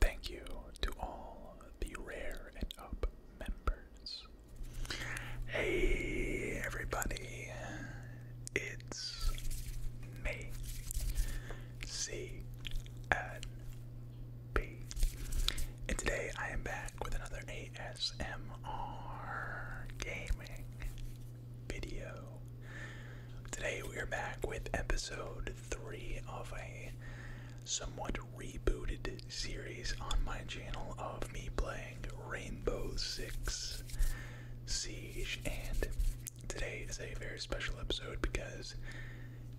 Thank you to all the Rare and Up members. Hey, everybody, it's me, C N B, and today I am back with another ASMR gaming video. Today we are back with episode three of a somewhat rebooted series on my channel of me playing Rainbow Six Siege. And today is a very special episode because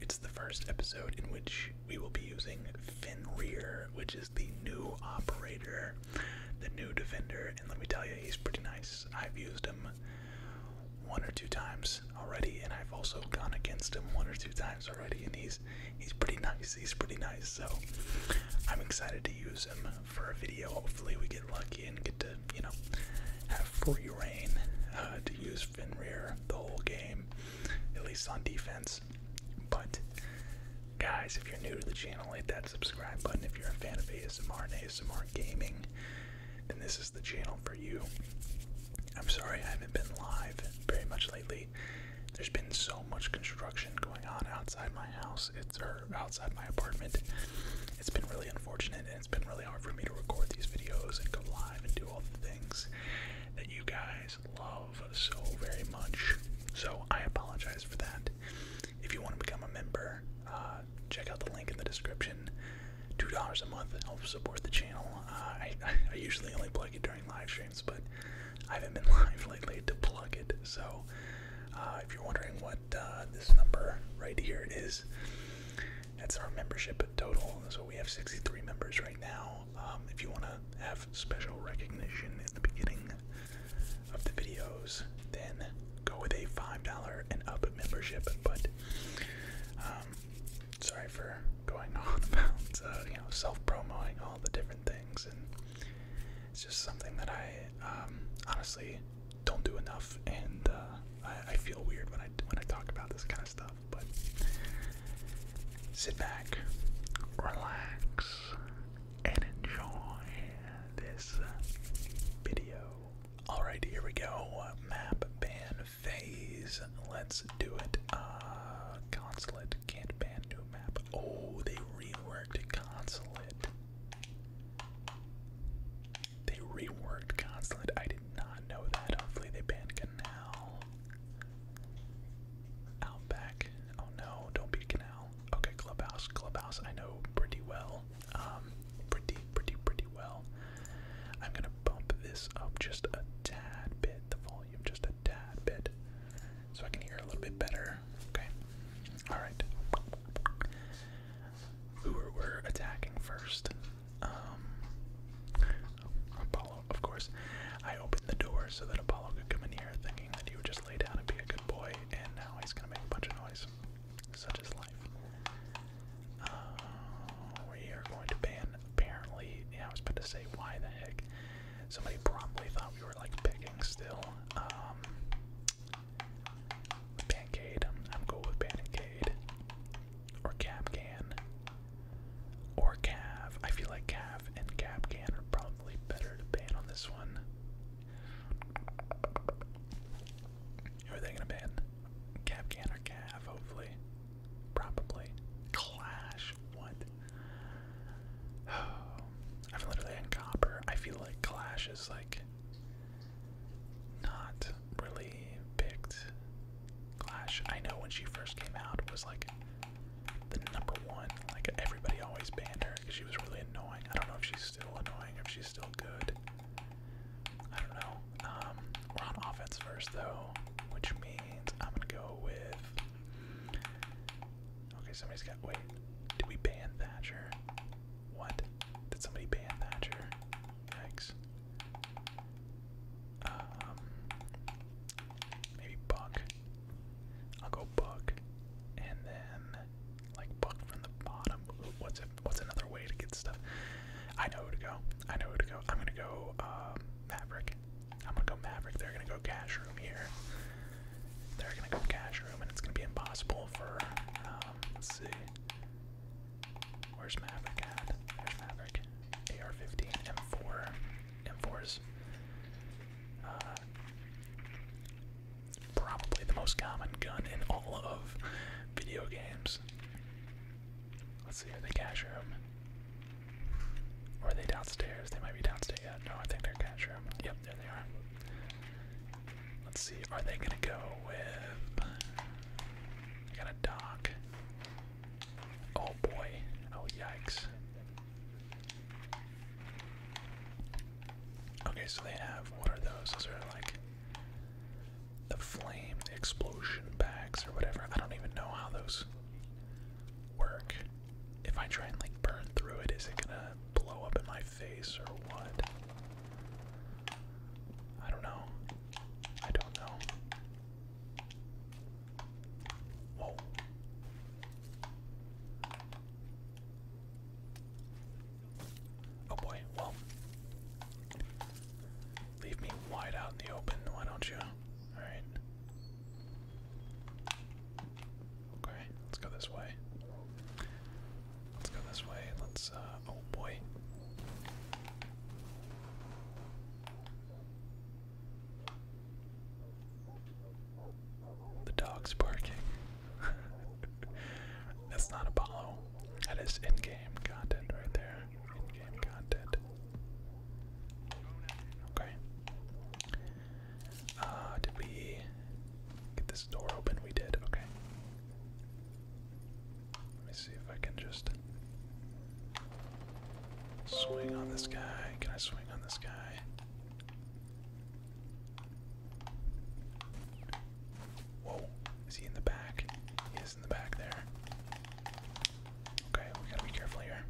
it's the first episode in which we will be using Finrear, which is the new operator, the new defender. And let me tell you, he's pretty nice. I've used him one or two times already, and I've also gone against him one or two times already, and he's he's pretty nice. He's pretty nice, so I'm excited to use him for a video. Hopefully, we get lucky and get to you know have free reign uh, to use Finrear the whole game, at least on defense. But guys, if you're new to the channel, hit that subscribe button. If you're a fan of ASMR and ASMR gaming, then this is the channel for you. I'm sorry I haven't been live very much lately. There's been so much construction going on outside my house, it's or outside my apartment. It's been really unfortunate and it's been really hard for me to record these videos and go live and do all the things that you guys love so very much. So I apologize for that. If you want to become a member, uh, check out the link in the description two dollars a month helps support the channel. I, usually only plug it during live streams, but I haven't been live lately to plug it. So uh, if you're wondering what uh, this number right here is, that's our membership total. So we have 63 members right now. Um, if you want to have special recognition in the beginning of the videos, then go with a $5 and up membership. But um, sorry for going on about uh, you know self promoting all the different things, and it's just something that I um, honestly don't do enough, and uh, I, I feel weird when I when I talk about this kind of stuff. But sit back, relax, and enjoy this video. Alright, here we go. Map ban phase. Let's do it. Uh, consulate can't ban new map. Oh, they reworked consulate. They reworked consulate. I did not know that. Hopefully they banned canal. Outback. Oh no, don't be canal. Okay, clubhouse. Clubhouse I know pretty well. Um, pretty, pretty, pretty well. I'm gonna bump this up just a tad bit, the volume just a tad bit, so I can hear a little bit better. Okay. Alright. we're attacking first? Um, Apollo, of course. I opened the door so that Apollo could come in here thinking that he would just lay down and be a good boy, and now he's gonna make a bunch of noise. Such is life we are going to ban, apparently, yeah, I was about to say, why the heck? Somebody probably thought we were, like, picking still. Um, Pancade, I'm, i with Pancade. Or Capcan. Or Cav. I feel like Cav and Capcan are probably better to ban on this one. Who are they gonna ban? Capcan or Cav, hopefully. Probably. Clash. What? Oh, I'm literally in I feel like Clash is like not really picked. Clash. I know when she first came out was like the number one. Like everybody always banned her because she was really annoying. I don't know if she's still annoying if she's still good. I don't know we're on offense first, though, which means I'm gonna go with. Okay, somebody's got. Wait, did we ban Thatcher? What? Did somebody ban Thatcher? Yikes. Um, maybe Buck. I'll go Buck, and then like Buck from the bottom. What's What's another way to get stuff? I know who to go. I know who to go. I'm gonna go. Um, Maverick. I'm gonna go Maverick. They're gonna go Cash Room here. They're gonna go Cash Room, and it's gonna be impossible for. Um, let's see. Where's Maverick at? There's Maverick? AR-15, M4, M4s. Uh, probably the most common gun in all of video games. Let's see, are they cash room? Or are they downstairs? They might be downstairs. Yeah, no, I think they're cash room. Yep, there they are. Let's see, are they gonna go with I got dock. Oh boy. Oh yikes. Okay, so they have what are those? Those are like the flame, explosion bags or whatever. I don't even know how those work? If I try and like burn through it, is it gonna blow up in my face or what? I don't know. I don't know. Whoa. Oh boy, well. Leave me wide out in the open, why don't you? Alright. Okay, let's go this way. Let's go this way. Let's, uh, oh boy. The dog's barking. That's not Apollo. That is in game content right there in-game content. Okay. Uh, did we get this door open? We did. Okay. Let me see if I can just swing on this guy. Can I swing on this guy? Whoa, is he in the back? He is in the back there. Okay, we gotta be careful here.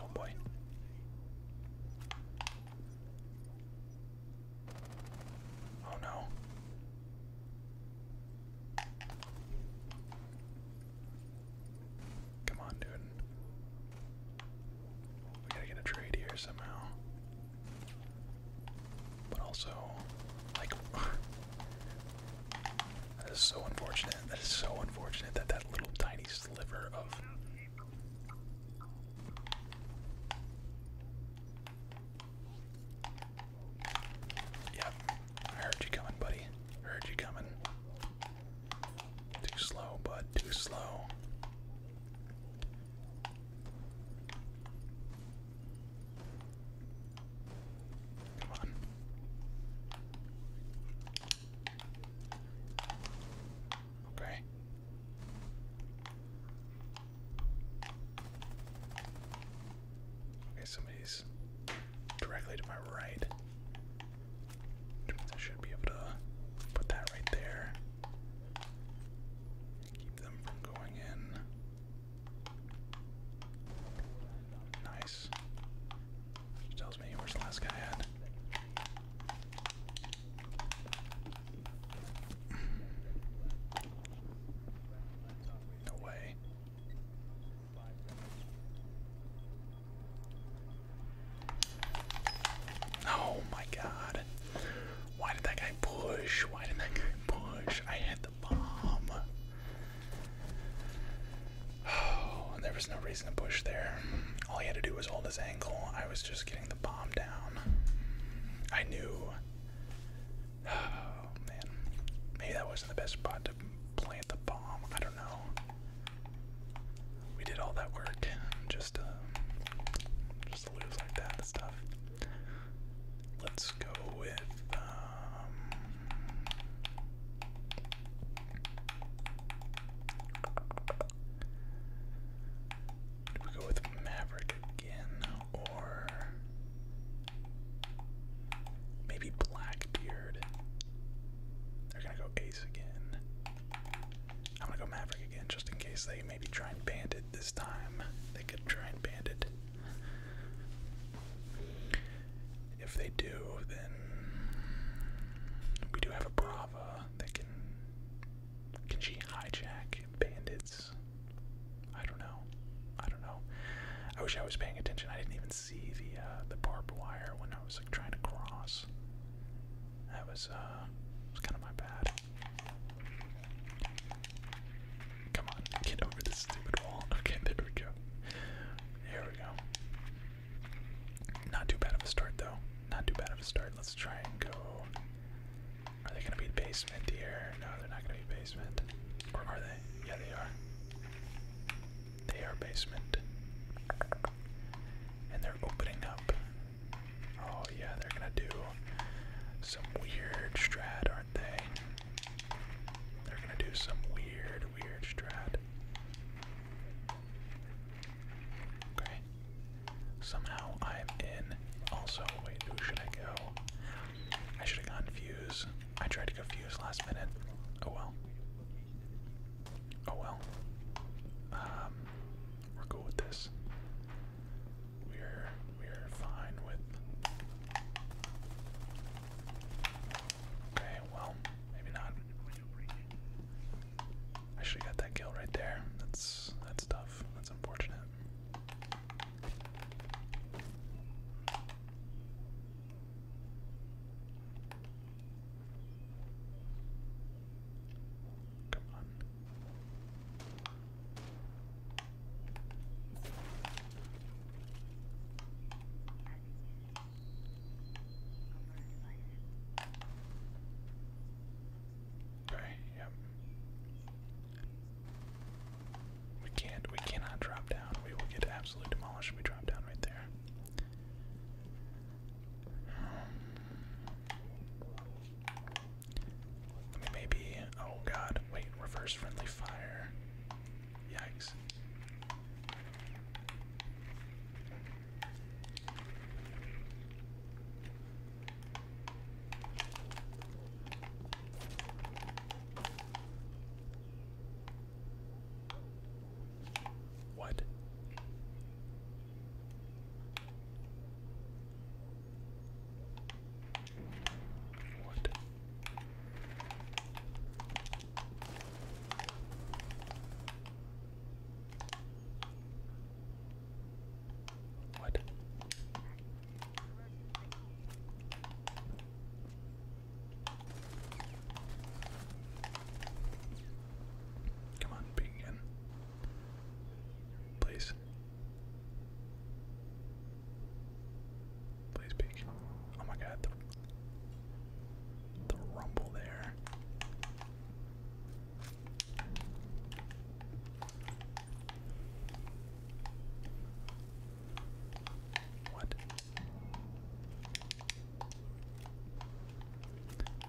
Oh boy. Oh no. Come on, dude. We gotta get a trade here somehow. But also, like, that is so unfortunate. That is so unfortunate that that little tiny sliver of. Yep, I heard you coming, buddy. Heard you coming. Too slow, bud. Too slow. Come on. Okay. Okay, somebody's directly to my right. Which means I should be able to put that right there. Keep them from going in. Nice. tells me where's the last guy at. No Oh my god. Why did that guy push? Why did that guy push? I had the bomb. Oh, there was no reason to push there. All he had to do was hold his ankle. I was just getting the bomb down. I knew. Oh, man. Maybe that wasn't the best spot to plant the bomb. I don't know. We did all that work just Let's go with um, go with Maverick again or maybe Blackbeard? They're gonna go Ace again. I'm gonna go Maverick again just in case they maybe try and bandit this time. They could try and ban If they do, then we do have a Brava that can. Can she hijack bandits? I don't know. I don't know. I wish I was paying attention. I didn't even see the uh, the barbed wire when I was like trying to cross. That was uh, was kind of my bad. Come on, get over this stupid wall. Okay, there we go. Here we go. Not too bad of a start, though. Not too bad of a start. Let's try and go. Are they going to be basement here? No, they're not going to be basement. Or are they? Yeah, they are. They are basement. And they're opening up Oh yeah, they're gonna do some weird strat, aren't they? They're gonna do some weird, weird strat. Okay. Somehow I'm in. Also, wait, who should I go? I should have gone Fuse. I tried to go Fuse last minute. Oh well. Oh well. Um, we're cool with this. We're we're fine with. Okay, well, maybe not. I should have got that kill right there. That's that's tough. That's unfortunate. Come on. Okay, yep. We can't, we cannot drop down. We will get absolutely demolished if we drop down right there maybe. Oh god, wait, reverse friendly fire. Yikes. What? What? What? Come on, ping in. Please please. Please Oh my god, the, rumble there. What?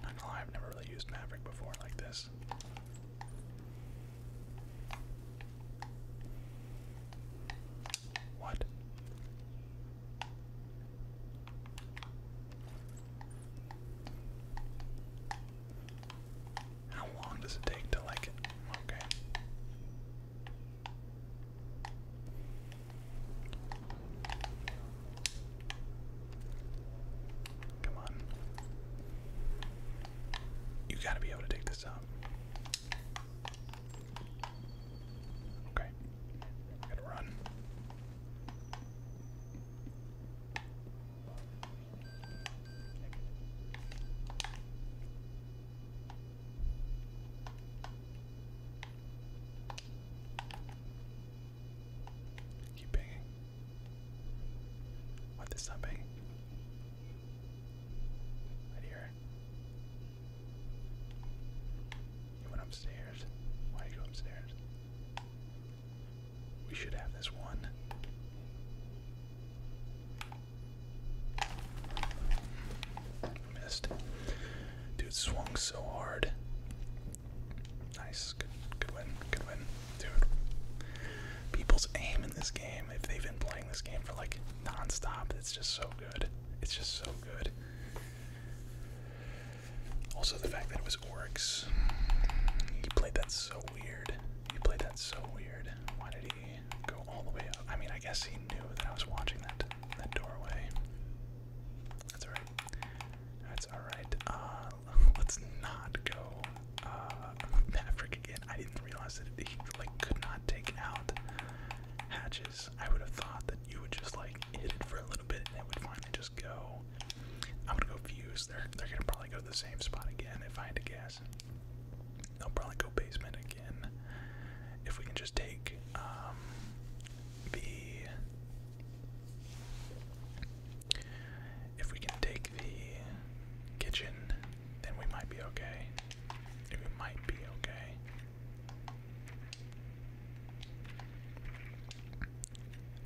Not gonna lie, I've never really used Maverick before like this. What? How long does it take to like it? Okay. Come on. You gotta be able to take this this up. Okay, we to run. Keep banging. What this not banging? Right here. You went upstairs. Why'd you go upstairs? We should have this one. Missed. Dude swung so hard. Nice. good win. Good win. Dude. People's aim in this game they've been playing this game for like non-stop, it's just so good. It's just so good. Also, the fact that it was Oryx. He played that so weird. He played that so weird. Why did he go all the way up? I mean, I guess he knew that I was watching that that doorway. That's alright. That's alright. Uh, let's not go uh, again. I didn't realize that he like could not take out hatches. I would have thought that you would just like hit it for a little bit and it would finally just go. I'm gonna go fuse. They're they're gonna probably go to the same spot again if I had to guess. They'll probably go basement again. If we can just take um, the if we can take the kitchen, then we might be okay. It might be okay.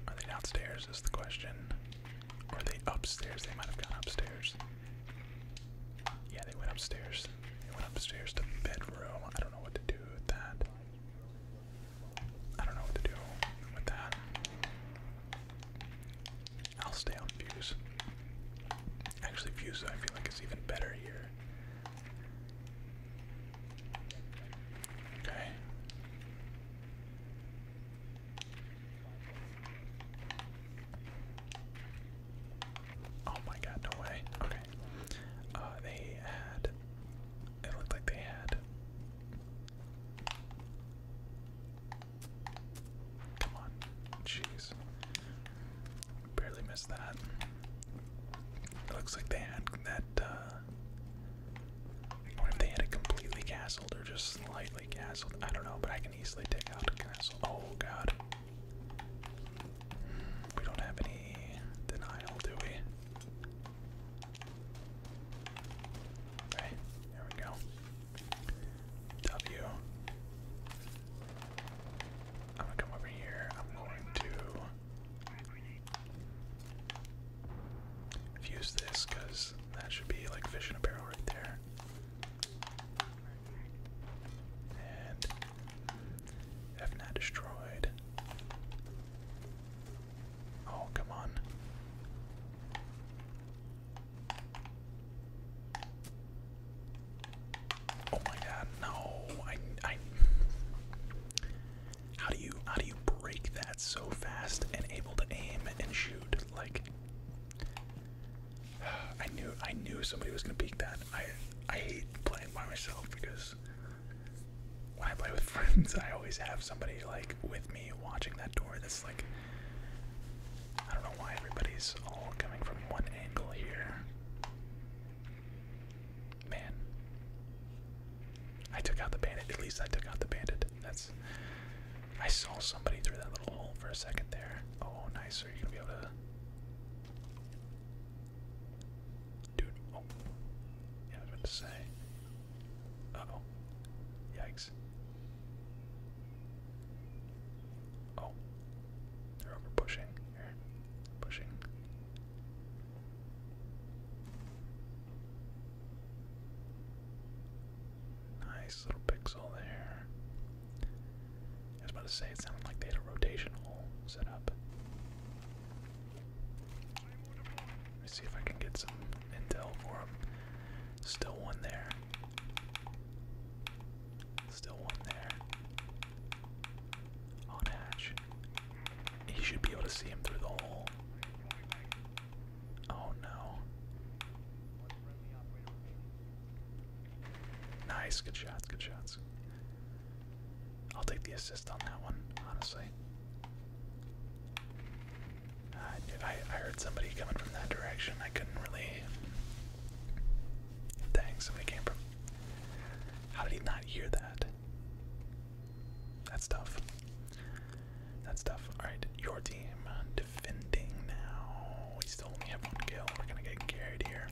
Are they downstairs? Is the question. are they upstairs? They might have gone upstairs. Yeah, they went upstairs. They went upstairs to bedroom. I don't know what to do with that. I don't know what to do with that. I'll stay on views. Actually, views I feel like it's even better here. Okay. Oh my god, no way. Okay. Uh, they had. It looked like they had. Come on. Jeez. Barely missed that. It looks like they had that, uh. if they had it completely castled or just slightly castled. I don't know, but I can easily take out a castle. Oh, God. We don't have any denial, do we? Okay, there we go. W. I'm gonna come over here. I'm going to use this because that should be like fish in barrel right there. And F not destroyed. Oh, come on. Oh my god, no. I I How do you how do you break that so fast and able to aim and shoot like I knew I knew somebody was gonna peek that. I I hate playing by myself because when I play with friends I always have somebody like with me watching that door that's like I don't know why everybody's all coming from one angle here. Man. I took out the bandit. At least I took out the bandit. That's. I saw somebody through that little hole for a second there. Oh, nice. Are you gonna be able to? Dude. Oh. Yeah, I to say. Uh oh. Yikes. Oh, they're over pushing here. Pushing. Nice little pixel there. I was about to say, it sounded like they had a rotation hole set up. Let me see if I can get some intel for him. Still one there. Still one there. On hatch. He should be able to see him through the hole. Oh no. Nice, good shots, good shots. I'll take the assist on that one, honestly. I, I heard somebody coming from that direction. I couldn't really Dang, somebody came from. How did he not hear that? That's tough. That's tough. Alright, your team uh, defending now. We still only have one kill. We're gonna get carried here.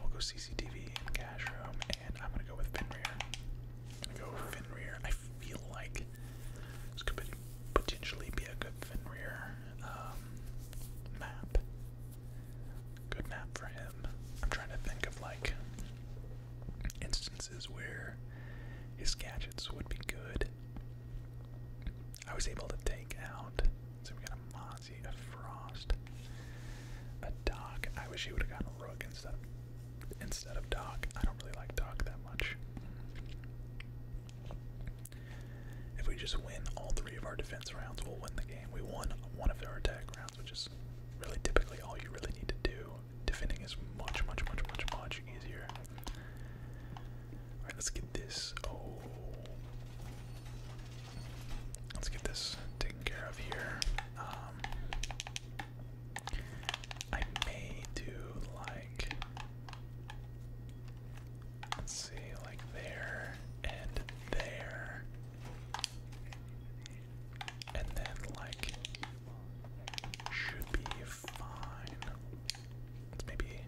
We'll go CCTV and cash room, and I'm gonna go with Fenrir. i go with I feel like this could potentially be a good Fenrir um, map. Good map for him. I'm trying to think of like instances where his gadgets would be good. I was able to take out. So we got a Mozzie, a Frost, a Doc. I wish he would have gotten a Rook instead instead of Doc. I don't really like Doc that much. If we just win all three of our defense rounds, we'll win the game. We won one of our attack rounds, which is really typically all you really need to do. Defending is much, much, much, much, much easier. Alright, let's get this. Oh. Let's get this taken care of here. Um, I may do like. Let's see, like there and there. And then, like, should be fine. Let's maybe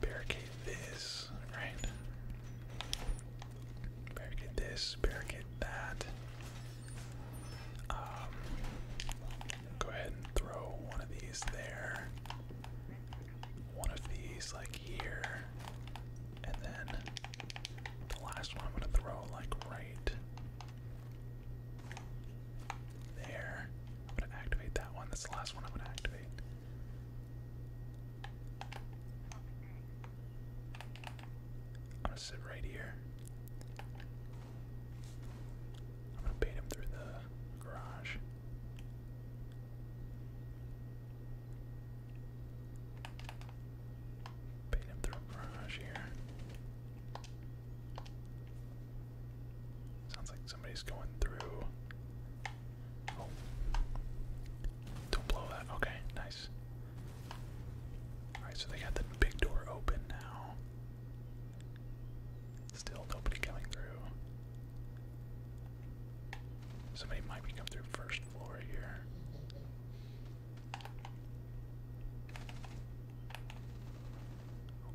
barricade this, right? Barricade this, barricade that. Um, go ahead and throw one of these there one of these like here, and then the last one I'm gonna throw like right there. I'm gonna activate that one. That's the last one I'm gonna activate. I'm gonna sit right here. I'm gonna bait him through the garage. Paint him through a here. Sounds like somebody's going through. Oh. Don't blow that. Okay, nice. Alright, so they got the big door open now. Still nobody coming through. Somebody might be coming through first floor here.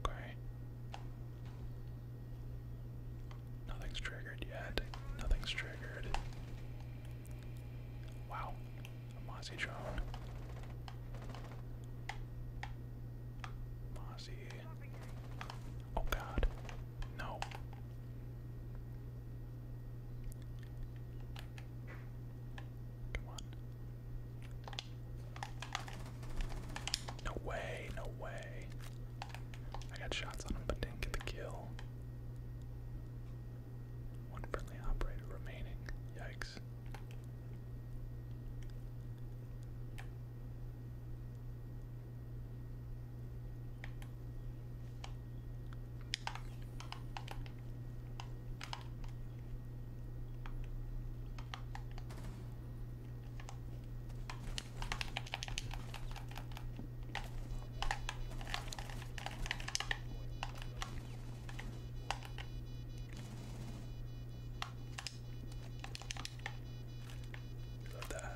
Okay. Nothing's triggered yet. Nothing's triggered. Wow. Mossy drone. Mossy. Oh god. No. Come on. No way, no way. I got shots on him but didn't get the kill. One friendly operator remaining. Yikes. Love that.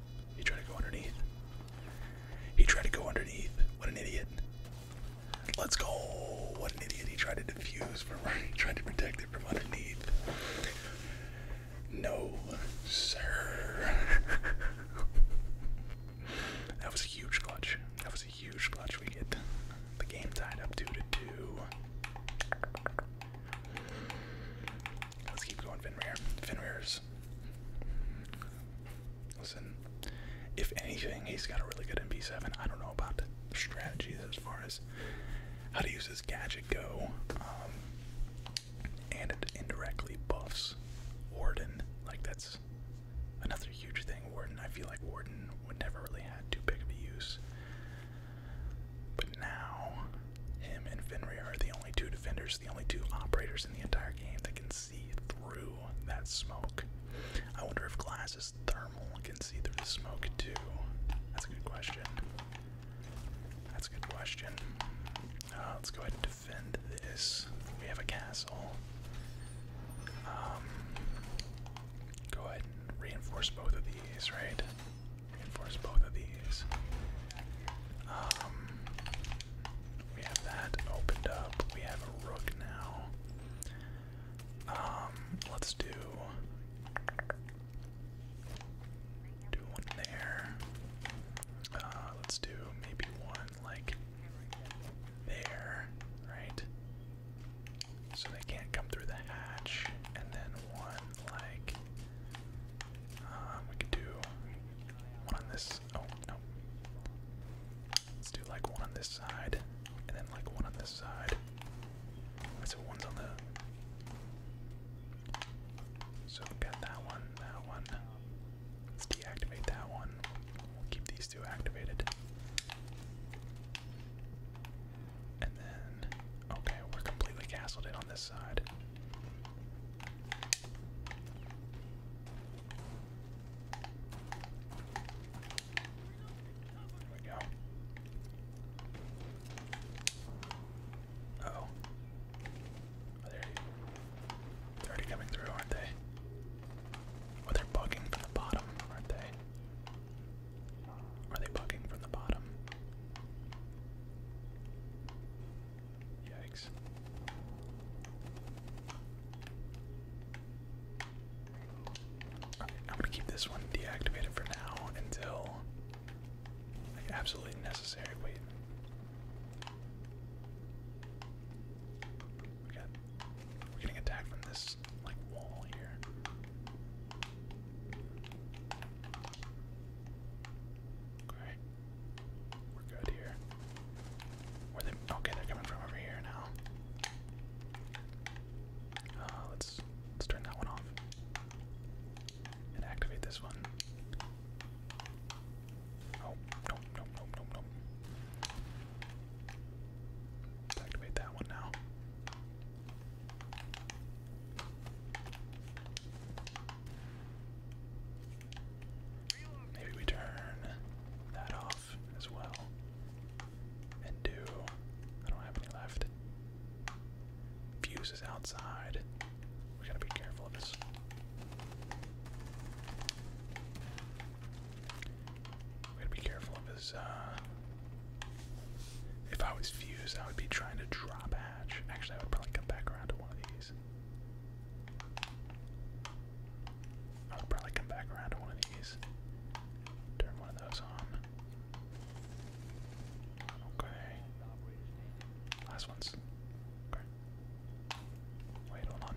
He tried to go underneath. He tried to go underneath. What an idiot. Let's go. What an idiot. He tried to defuse from he tried to protect it from underneath. No, sir. that was a huge clutch. That was a huge clutch. We get the game tied up two to two. Let's keep going, Finrear. Finrear's Listen, if anything, he's got a really good MP7. I don't know about the strategies as far as how to use his gadget go. Um, and it indirectly buffs Warden. Like, that's another huge thing. Warden, I feel like Warden would never really had too big of a use. But now, him and Fenrir are the only two defenders the only two operators in the entire game that can see through that smoke. I wonder if glass is thermal can see through the smoke too. That's a good question. That's a good question. Uh, let's go ahead and defend this. We have a castle. Um, go ahead and reinforce both of these, right? Reinforce both of these. Um, we have that opened up. We have a rook now. Um, let's do do one there. Uh, let's do maybe one like there, right? So they can't come through the hatch, and then one like um, we could do one this Oh, no. Let's do like one on this side, and then like one on this side. so one's on the. So got that one, that one. Let's deactivate that one. We'll keep these two activated. And then, okay, we're completely castled in on this side. Oh, there we go. oh. Are they already coming through, aren't they? Oh, they bugging from the bottom, aren't they? Are they bugging from the bottom? Yikes. I'm gonna keep this one deactivated for now until absolutely necessary. Wait. We are getting attacked from this like wall here. Okay. We're good here. Where they? Okay, they're coming from over here now. Uh, let's let's turn that one off and activate this one. Oh nope nope nope nope nope. activate that one now. Maybe we turn that off as well. And do. I don't have any left. Fuse is outside. We gotta be careful of this. We gotta be careful of his, uh. If I was Fuse, I would be trying to drop hatch. Actually, I would probably come back around to one of these. I'll probably come back around to one of these. Turn one of those on. Okay. Last one's. Okay. Wait, hold on.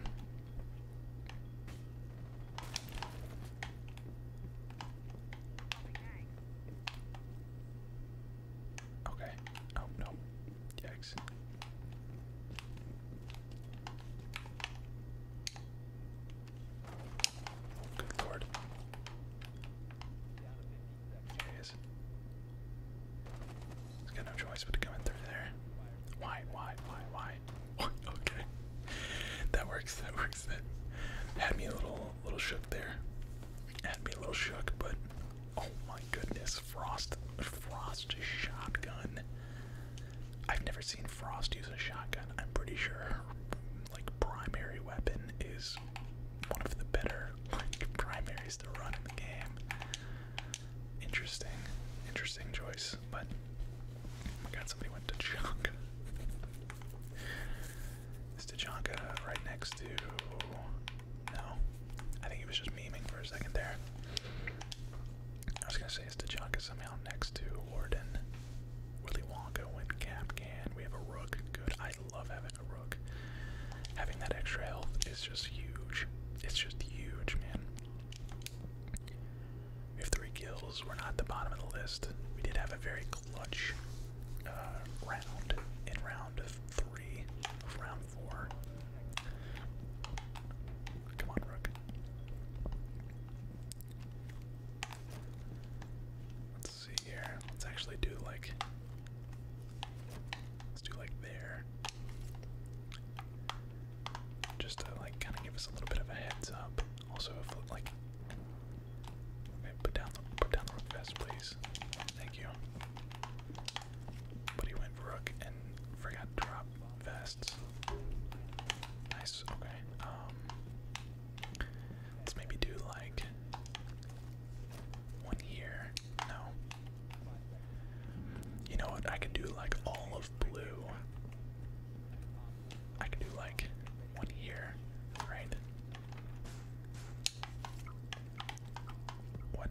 Okay. Oh, no. Yikes. Good lord. There he has got no choice but to come in through there. Why, why, why, why? Okay. That works, that works. That had me a little little shook there. Had me a little shook, but oh my goodness frost frost shotgun. I've never seen Frost use a shotgun. I'm pretty sure her like primary weapon is one of the better like primaries to run in the game. Interesting, interesting choice, but oh my god, somebody went to Chonka. Is Tachanka right next to no? I think it was just memeing for a second there. I was gonna say it's Tachanka somehow next to Warden, Willy Wonka when Cap can. We have a Rook. Good. I love having a Rook. Having that extra health is just huge. It's just huge, man. We have three kills. We're not at the bottom of the list. We did have a very clutch uh, round in round three of round Come on, Rook. Let's see here. Let's actually do like. Let's do like there. Just to like kind of give us a little bit of a heads up. Also, if like. put down put down the rook vest, please. Thank you. But he went rook and forgot drop vests. Nice, okay. Um, let's maybe do like one here. No. You know what? I can do like all of blue. I could do like one here, right? What?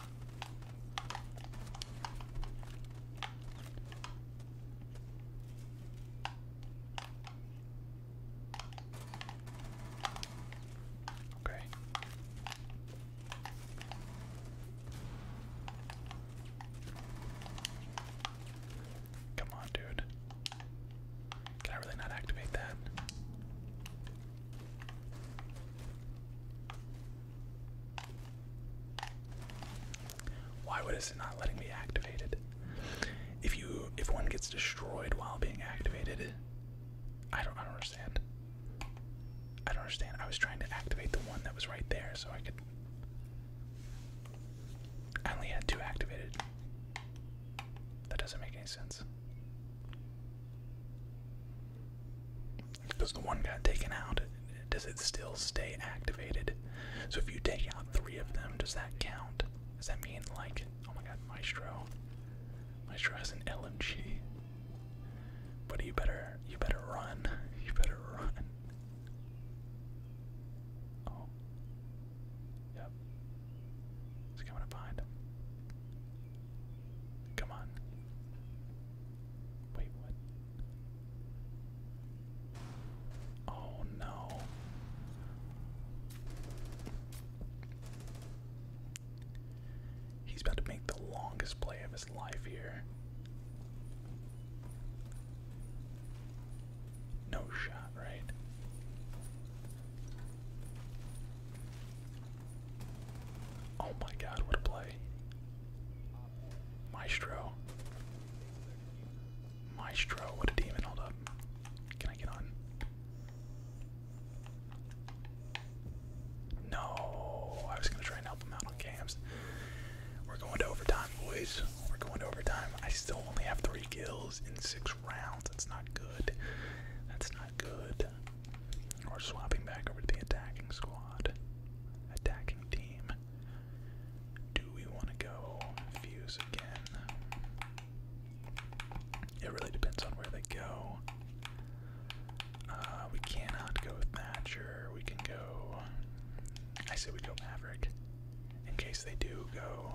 Okay. Come on, dude. Can I really not activate that? Why would it not letting me activate it? If you if one gets destroyed while being activated, I don't I don't understand. I don't understand. I was trying to activate the one that was right there so I could I only had two activated. That doesn't make any sense. Does the one got taken out, does it still stay activated? So if you take out three of them, does that count? Does that mean like, oh my god, Maestro, Maestro has an LMG, but you better, you better run, you better run. Oh, yep, it's coming up behind him. Come on. Wait, what? Oh no. He's about to make the longest play of his life here. No shot, right? Oh my god, what a play. Maestro. Maestro, what a demon. Hold up. Can I get on? No, I was gonna try and help them out on cams. We're going to overtime, boys. We're going to overtime. I still only have three kills in six rounds. That's not good. That's not good. We're swapping back over to the attacking squad. Attacking team. Do we want to go fuse again? It really depends on where they go. Uh, we cannot go with Thatcher. We can go. I say we go Maverick. In case they do go,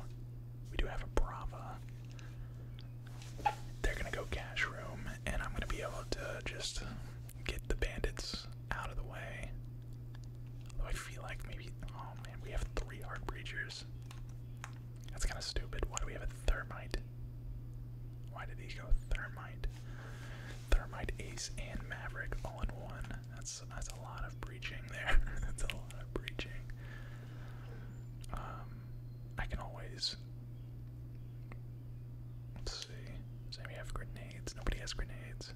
we do have a Brava. They're gonna go Cash Room, and I'm gonna be able to just get the bandits out of the way. Although I feel like maybe, oh man, we have three heart breachers. That's kind of stupid. Why do we have a thermite? Why did he go thermite? Thermite, Ace, and Maverick all in one. That's that's a lot of breaching there. that's a lot of breaching. Um, I can always Let's see. Does anybody grenades? Nobody has grenades.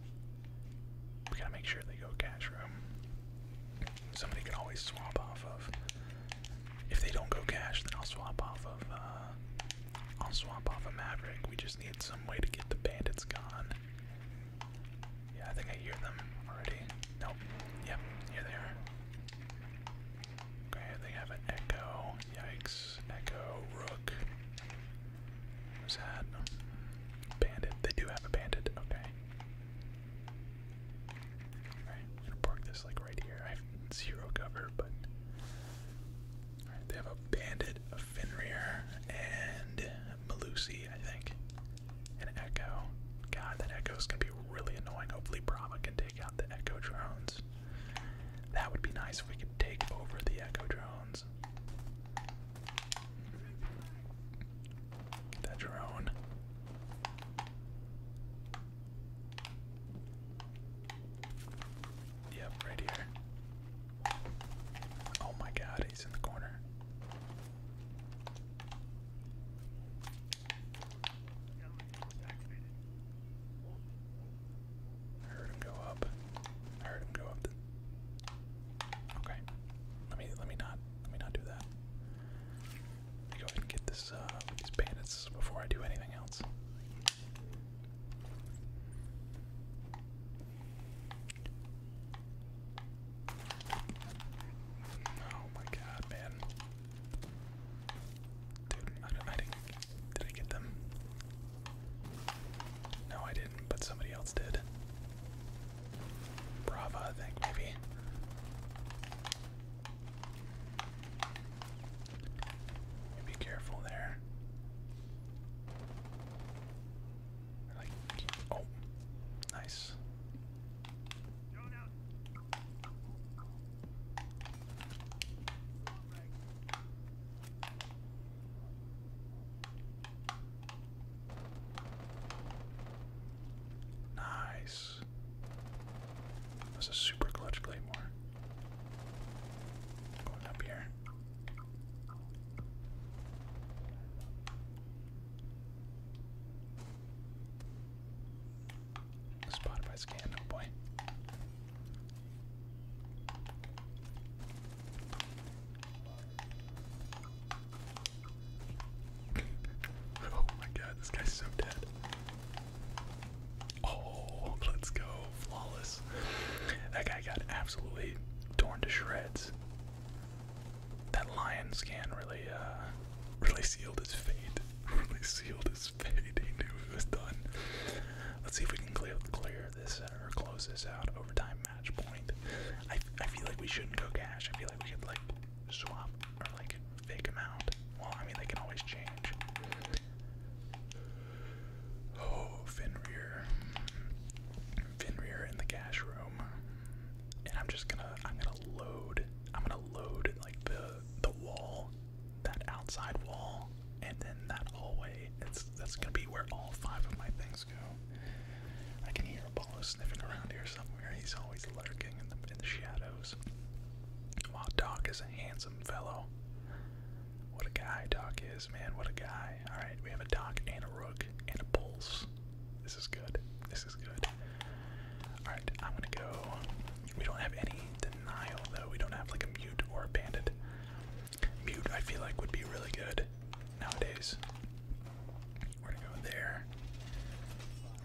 We gotta make sure they go cash room. Somebody can always swap off of. If they don't go cash, then I'll swap off of. Uh, I'll swap off a Maverick. We just need some way to get the bandits gone. Yeah, I think I hear them already. Nope. Yep, here they Okay, they have an echo. Yikes. Echo, rook. Sad. Bandit. They do have a bandit. Okay. Alright, I'm gonna park this like right here. I have zero cover, but. they have a bandit, a Fenrir, and Malusi, I think. An echo. God, that echo's gonna be really annoying. Hopefully Brahma can take out the Echo drones. That would be nice if we could take over the Echo drones. That drone. Yep, right here. Oh my god, he's in the corner. I heard him go up. I heard him go up. Okay. Let me let me not let me not do that. Let me go ahead and get this uh, these bandits before I do anything else. Oh my god, man. Dude, I, I didn't did I get them? No, I didn't, but somebody else did. Brava, I think, maybe. Be careful there. Like, oh, nice. Nice. That's a super clutch claymore. Going up here. Spotted scan, oh boy oh my god, this guy's so dead. Oh, let's go. Flawless. That guy got absolutely torn to shreds. That lion scan really, uh, really sealed his fate. really sealed Let's see if we can clear, clear this or close this out. Overtime match point. I, I feel like we shouldn't go cash. I feel like we could like swap or like fake out. Well, I mean they can always change. Oh, Finn Finn Finrear in the cash room. And I'm just gonna I'm gonna load I'm gonna load like the the wall that outside wall, and then that hallway. that's gonna be where all five of my things go. I can hear a Apollo sniffing around here somewhere. He's always lurking in the shadows. While Doc is a handsome fellow. What a guy Doc is, man. What a guy. Alright, we have a Doc and a Rook and a Pulse. This is good. This is good. Alright, I'm gonna go. We don't have any denial, though. We don't have like a mute or a bandit. Mute, I feel like, would be really good nowadays. We're gonna go there.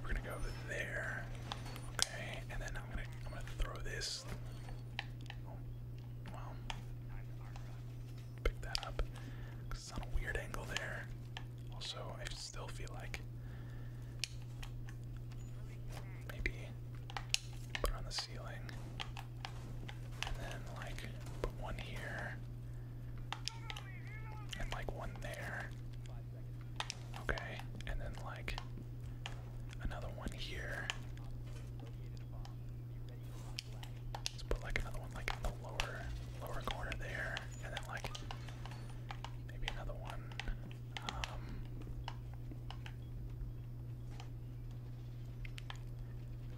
We're gonna go there. Okay, and then I'm gonna I'm gonna throw this. Oh, wow. Pick that up. Cause it's on a weird angle there. Also, I still feel like maybe put on the ceiling. And then, like, put one here. And, like, one there. Okay. And then, like, another one here. Let's put, like, another one, like, in the lower, lower corner there. And then, like, maybe another one. Um,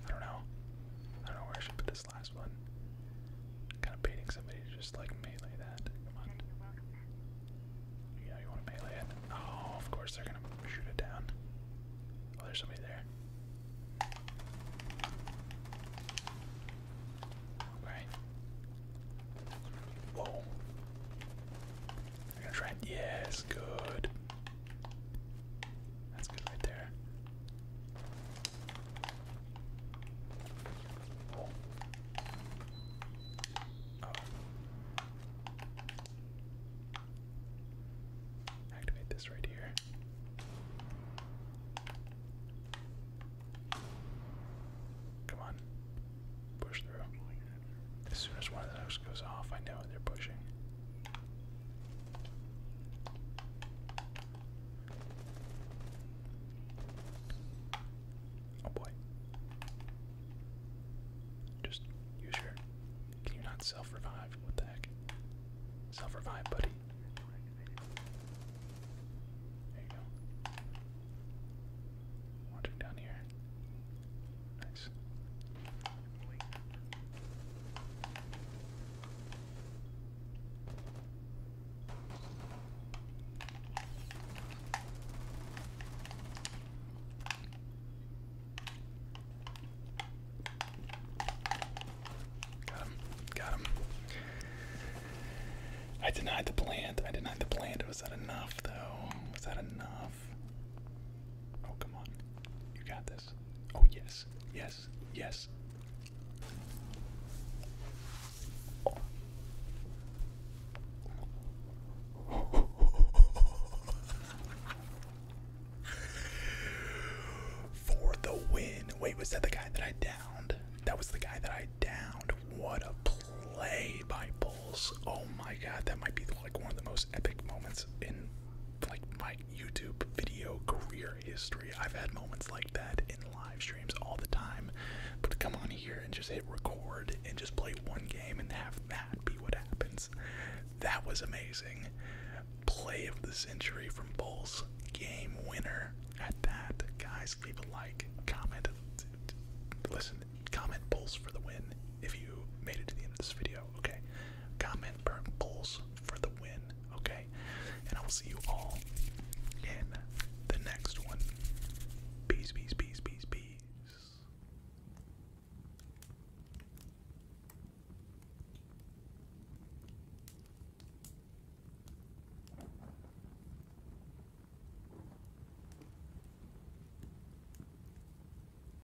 I don't know. I don't know where I should put this last one. kind of baiting somebody to just like melee that. Yeah, you want to melee it? Oh, of course they're gonna shoot it down. Oh, there's somebody there. Okay. Whoa. Yes, good. That's good right there. Oh. Activate this right here. Come on. Push through. As soon as one of those goes off, I know they're pushing. Oh boy. Just use your. Can you not self revive? What the heck? Self revive, buddy. There you go. Watching down here. Got him. Got him. I denied the plant. I denied the plant. Was that enough, though? Was that enough? Oh, come on. You got this. Oh, yes. Yes. Yes. For the win. Wait, was that the guy that I downed? That was the guy that I downed. What a play by Bulls. Oh my god, that might be like one of the most epic moments in like my YouTube video career history. I've had moments like that in live streams all the time. But come on here and just hit record and just play one game and have that be what happens. That was amazing. Play of the century from Bulls. Game winner at that. Guys, leave a like, comment, listen, comment Bulls for the win if you made it to the end of this video okay? Comment burn Bulls for the win, okay? And I will see you all in the next one. Peace, peace, peace, peace, peace.